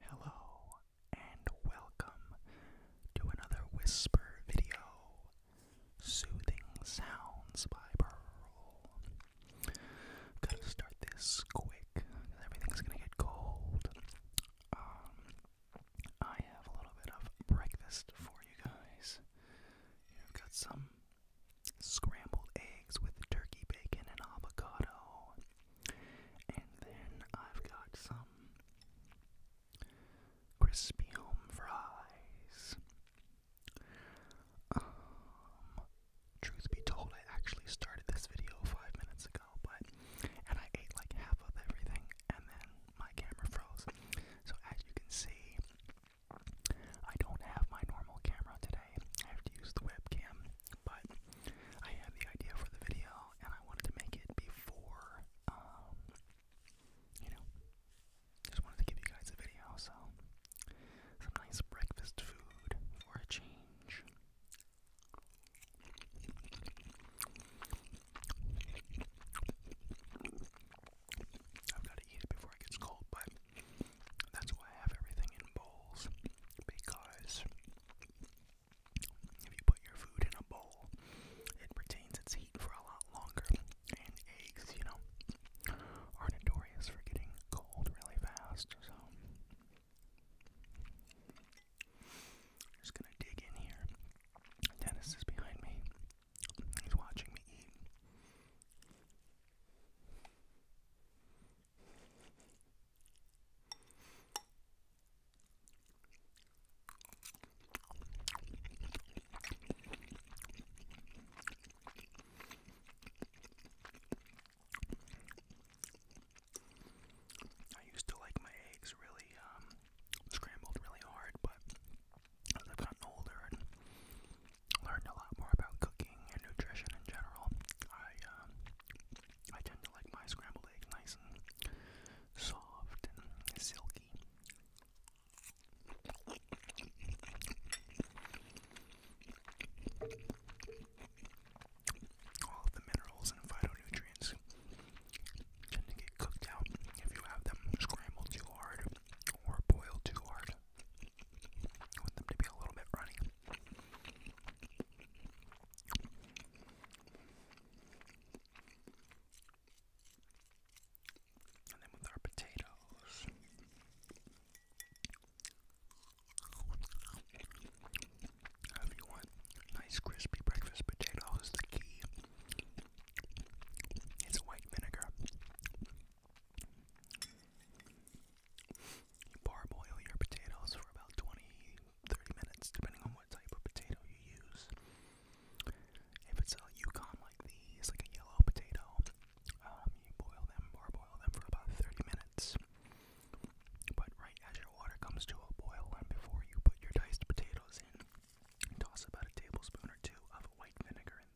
Hello and welcome to another whisper video. Soothing sounds by Pearl. Gotta start this quick because everything's gonna get cold. Um, I have a little bit of breakfast for you guys. You have got some scrambled eggs with turkey bacon and avocado. And then I've got some crispy home fries. Um, truth be told, I actually started this video five minutes ago, but and I ate like half of everything, and then my camera froze. So as you can see, I don't have my normal camera today. I have to use the webcam, but I had the idea for the video and I wanted to make it before, um, you know, just wanted to give you guys a video. So, some nice breakfast food for a change. I've got to eat it before it gets cold, but that's why I have everything in bowls because if you put your food in a bowl, it retains its heat for a lot longer. And eggs, you know, are notorious for getting cold really fast. So just gonna dig in here. Dennis is behind me. He's watching me eat. I used to like my eggs really um, scrambled really hard, but as I've gotten older learned a lot more about cooking and nutrition in general. I um, I tend to like my scrambled egg nice and soft and silky. All of the minerals and phytonutrients tend to get cooked out if you have them scrambled too hard or boiled too hard want them to be a little bit runny. And then with our potatoes. If you want nice crispy breakfast potatoes, the key is white vinegar. You parboil your potatoes for about 20 30 minutes, depending on what type of potato you use. If it's a Yukon like these, like a yellow potato, um, you boil them, parboil them for about 30 minutes. But right as your water comes to a boil, and before you put your diced potatoes in, toss about a tablespoon or two of white vinegar in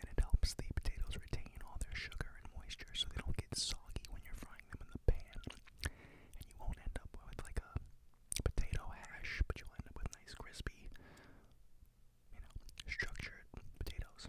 and it helps the potatoes retain all their sugar and moisture so they don't get soggy when you're frying them in the pan. And you won't end up with like a potato hash, but you'll end up with nice crispy, you know, structured potatoes.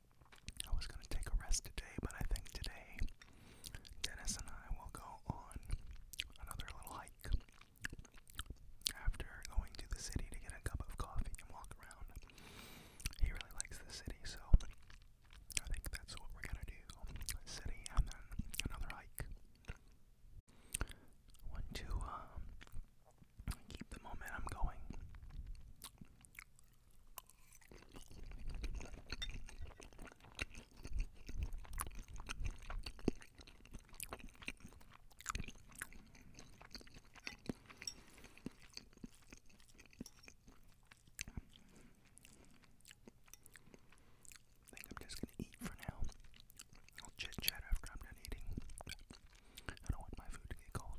I was going to take a rest today, but I think today Dennis and I will go on another little hike after going to the city to get a cup of coffee and walk around. He really likes the city, so I think that's what we're going to do. City and then another hike. I went um, Keep the momentum going. I think I'm just gonna eat for now. I'll chit chat after I'm done eating. I don't want my food to get cold.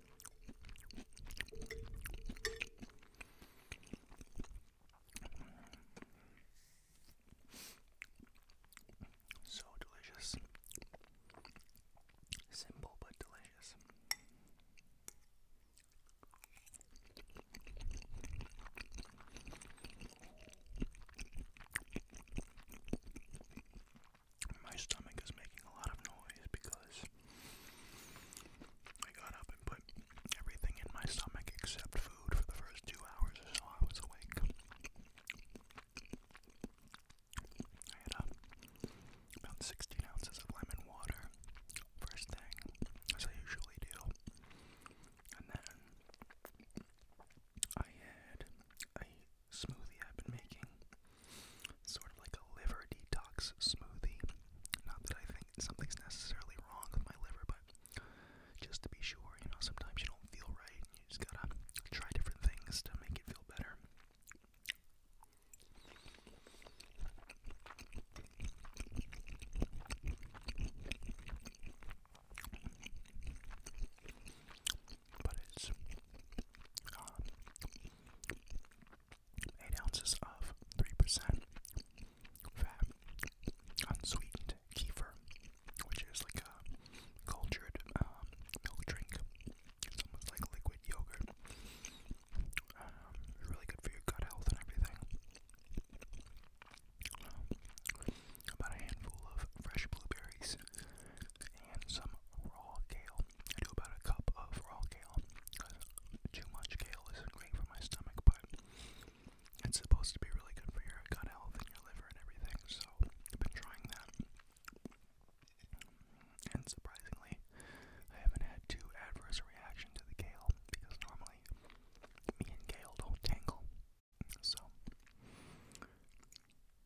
So delicious. Simple but delicious. My stomach is making a lot of noise because I got up and put everything in my stomach except food for the first two hours or so I was awake. I had uh, about 16 ounces of lemon water first thing, as I usually do. And then I had a smoothie I've been making. Sort of like a liver detox smoothie. Not that I think something's necessarily wrong with my liver, but just to be sure, you know, sometimes you don't feel right and you just gotta try different things to make it feel better but it's um, 8 ounces of 3% fat, unsweetened kefir, which is like a cultured um, milk drink. It's almost like liquid yogurt. Um, really good for your gut health and everything. about a handful of fresh blueberries and some raw kale. I do about a cup of raw kale. Too much kale isn't great for my stomach, but it's supposed to be really good for your gut health and your liver and everything, so I've been trying that. And surprisingly, I haven't had too adverse a reaction to the kale because normally me and kale don't tangle. So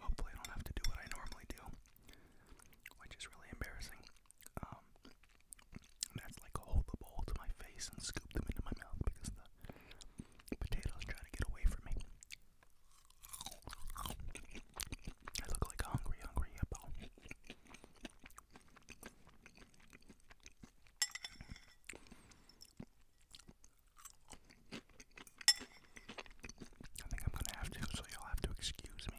Hopefully, I don't have to do what I normally do, which is really embarrassing. Um, that's like hold the bowl to my face and scoop them into my mouth because the potatoes try to get away from me. I look like hungry, hungry hippo. I think I'm gonna have to, so you'll have to excuse me.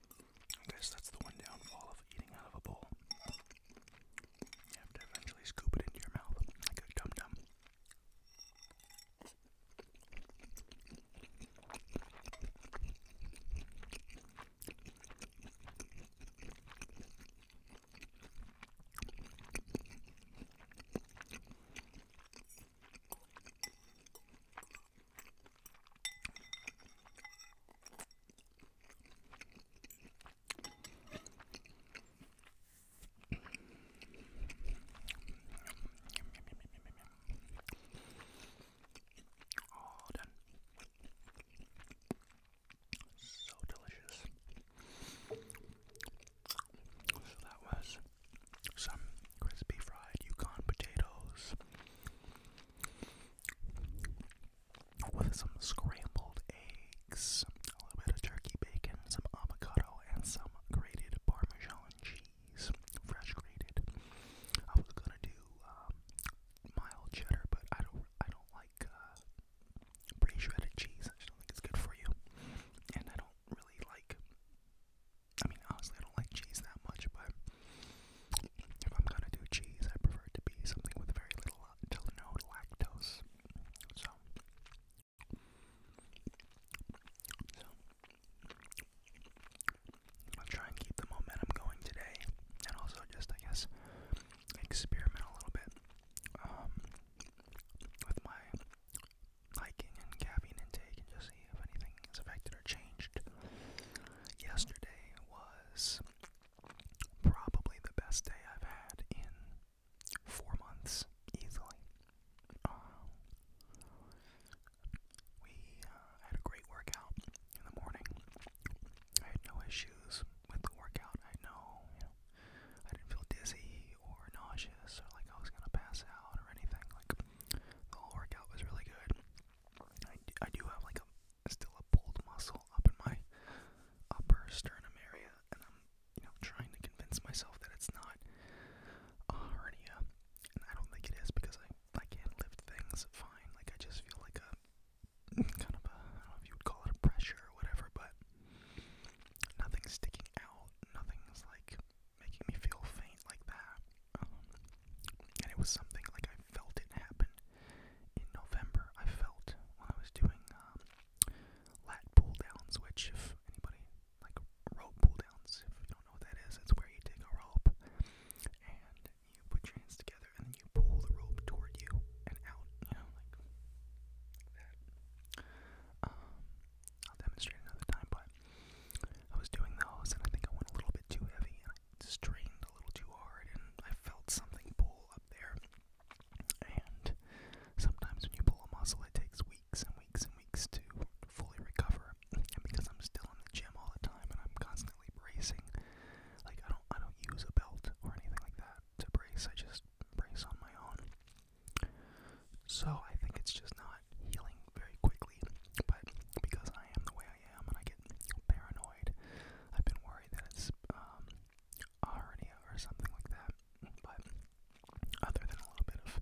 I guess that's the one downfall of eating out of a bowl. You have to eventually scoop it into your mouth dum dum. All done. So delicious. So that was some crispy fried Yukon potatoes with some scrambled eggs, a little bit of turkey bacon, some avocado, and some grated Parmesan cheese, fresh grated. I was gonna do um, mild cheddar, but I don't, I don't like uh, pre-shredded cheese. I don't think it's good for you, and I don't really like I mean, honestly, I don't like cheese that much, but if I'm gonna do cheese, I prefer it to be something with very little uh, to no lactose. So, I'll try and keep the momentum going today, and also just, I guess, experiment a little bit um, with my hiking and caffeine intake, and just if anything is affected or changed. Yesterday was probably the best day I've had in four months, easily. Um, we uh, had a great workout in the morning. I had no issues with the workout. I know, I didn't feel dizzy or nauseous or like I was gonna pass out or anything. Like the whole workout was really good. I, I do have like a still a pulled muscle up in my upper sternum area, and I'm you know trying to convince myself that it's not a hernia, and I don't think it is because I I can't lift things fine. Like I just feel like a kind of a I don't know if you would call it a pressure or whatever, but nothing's sticking out, nothing's like making me feel faint like that. Um, and it was something like I felt it happen in November. I felt when I was doing um, lat pull downs, which if anybody like rope pull downs, if you don't know what that is, it's where you take a rope and you put your hands together and then you pull the rope toward you and out, you know, like that. Um, I'll demonstrate another time, but I was doing those, and I think I went a little bit too heavy, and I strained a little too hard, and I felt something pull up there. And sometimes when you pull a muscle, it takes weeks and weeks and weeks to fully recover. And because I'm still in the gym all the time, and I'm constantly bracing, like I don't, I don't use a belt or anything like that to brace. I just brace on my own. So I think it's just not healing very quickly, but because I am the way I am and I get paranoid, I've been worried that it's um, a hernia or something like that. But other than a little bit of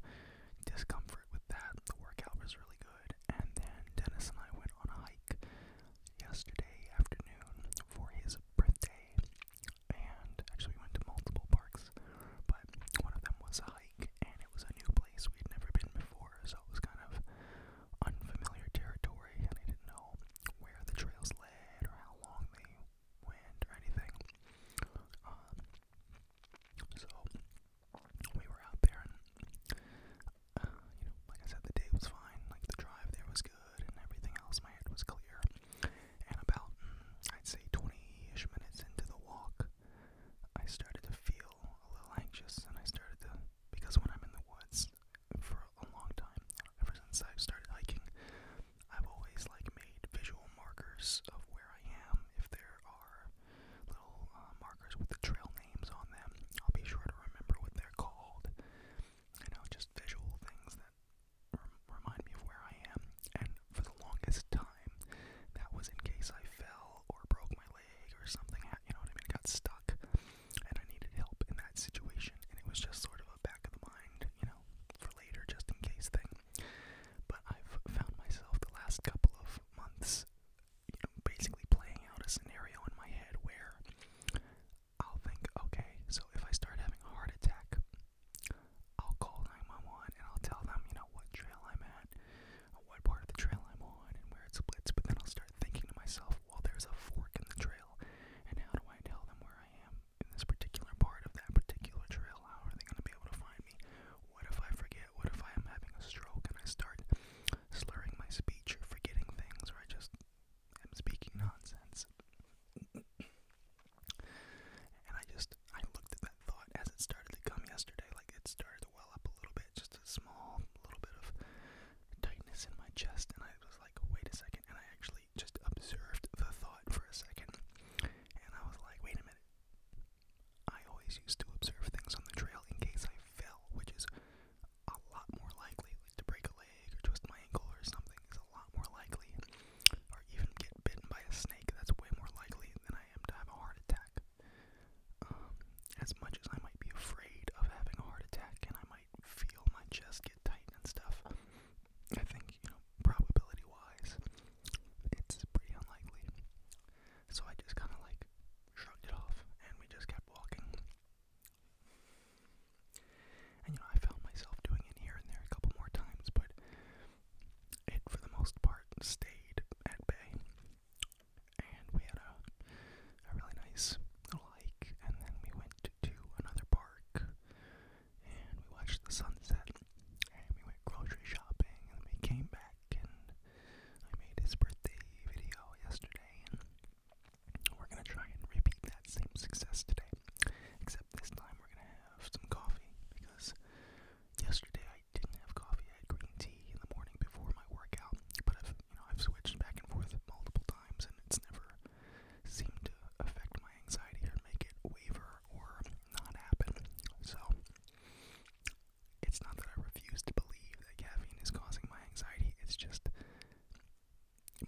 discomfort with that, the workout was really good. And then Dennis and I went on a hike yesterday afternoon for his birthday, and actually we went to multiple parks, but one of them was a hike like, and it was a new place we'd never been before, so it was kind of unfamiliar territory, and I didn't know where the trails led or how long they went or anything. Um, so we were out there, and uh, you know, like I said, the day was fine. Like the drive there was good, and everything else, my head was clear. And about mm, I'd say 20-ish minutes into the walk, I started to feel a little anxious, and I started to because when I'm in the woods for a long time, ever since I've started hiking, I've always like made visual markers of where I am. If there are little uh, markers with the trail names on them, I'll be sure to remember what they're called. You know, just visual things that remind me of where I am. And for the longest time time. That was in case I fell or broke my leg or something, you know what I mean? Got stuck and I needed help in that situation, and it was just sort of a back of the mind, you know, for later, just in case thing. But I've found myself the last couple of months, you know, basically playing out a scenario in my head where I'll think, okay, so if I start having a heart attack, I'll call 911 and I'll tell them, you know, what trail I'm at, what part of the trail I'm on and where it splits, but then I'll start thinking to myself, well, there's a fork in the trail, and how do I tell them where I am in this particular part of that particular trail? How are they going to be able to find me? What if I forget? What if I am having a stroke and I start slurring my speech or forgetting things, or I just am speaking nonsense? and I just I looked at that thought as it started to come yesterday, like it started to well up a little bit, just a small little bit of tightness in my chest, and I was like, wait a second, and I actually just observed the thought for a second, and I was like, wait a minute. I always used to observe things on the trail in case I fell, which is a lot more likely to break a leg or twist my ankle or something is a lot more likely, or even get bitten by a snake. That's way more likely than I am to have a heart attack. Um, as much as I might be afraid of having a heart attack and I might feel my chest get tight and stuff, I think, you know, probability wise, it's pretty unlikely. So I just kind of like shrugged it off and we just kept walking. And you know, I found myself doing it here and there a couple more times, but it for the most part stayed at bay. And we had a, a really nice little hike, and then we went to, another park, and we watched the sunset, and we went grocery shopping, and we came back, and I made his birthday video yesterday, and we're gonna try and repeat that same success today. Except this time we're gonna have some coffee because yesterday I didn't have coffee. I had green tea in the morning before my workout, but I've you know I've switched back and forth multiple times, and it's never seemed to affect my anxiety or make it waver or not happen. So it's not that I refuse to believe that caffeine is causing my anxiety. It's just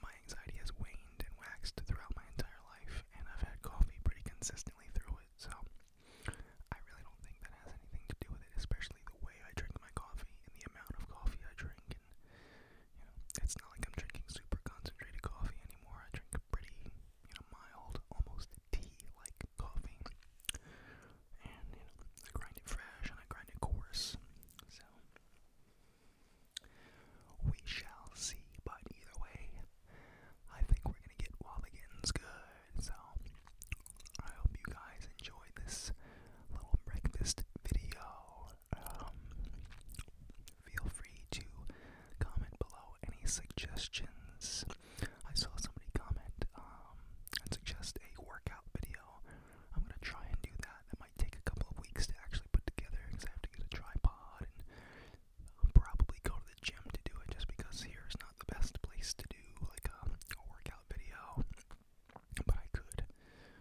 my anxiety has waned and waxed throughout my entire life, and I've had coffee pretty consistently through it. So I really don't think that has anything to do with it, especially the way I drink my coffee and the amount of coffee I drink. And, you know, it's not like I'm drinking super concentrated coffee anymore. I drink pretty, you know, mild, almost tea like coffee. And, you know, I grind it fresh and I grind it coarse. So, we shall see. But either way, I think we're gonna get Wobbligans good. So I hope you guys enjoyed this little breakfast video. Um, feel free to comment below any suggestions. I saw somebody comment um, and suggest a workout video. I'm gonna try and do that. That might take a couple of weeks to actually put together because I have to get a tripod I'll probably go to the gym to do it just because here is not the best place to do like a, um, a workout video. But I could.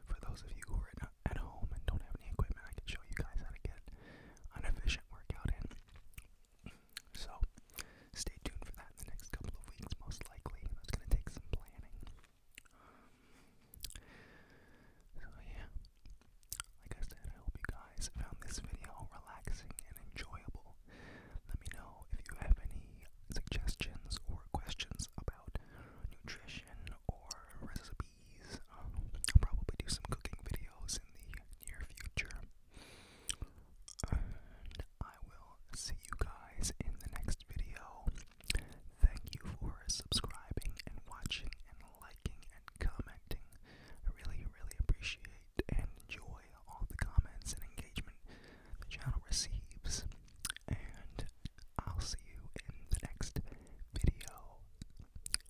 For those of you who are at, at home and don't have any equipment, I can show you guys how to get an efficient workout in. So stay tuned for that in the next couple of weeks, most likely. That's going to take some planning. So, yeah, like I said, I hope you guys found this video relaxing and enjoyable. Let me know if you have any suggestions or questions about nutrition or recipes. Um, I'll probably do some cooking videos in the near future. I will see you guys in the next video. Thank you for subscribing and watching and liking and commenting. I really, really appreciate and enjoy all the comments and engagement the channel receives. And I'll see you in the next video.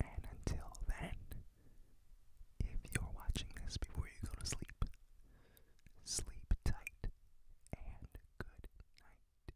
And until then, if you're watching this before you go to sleep, sleep tight and good night.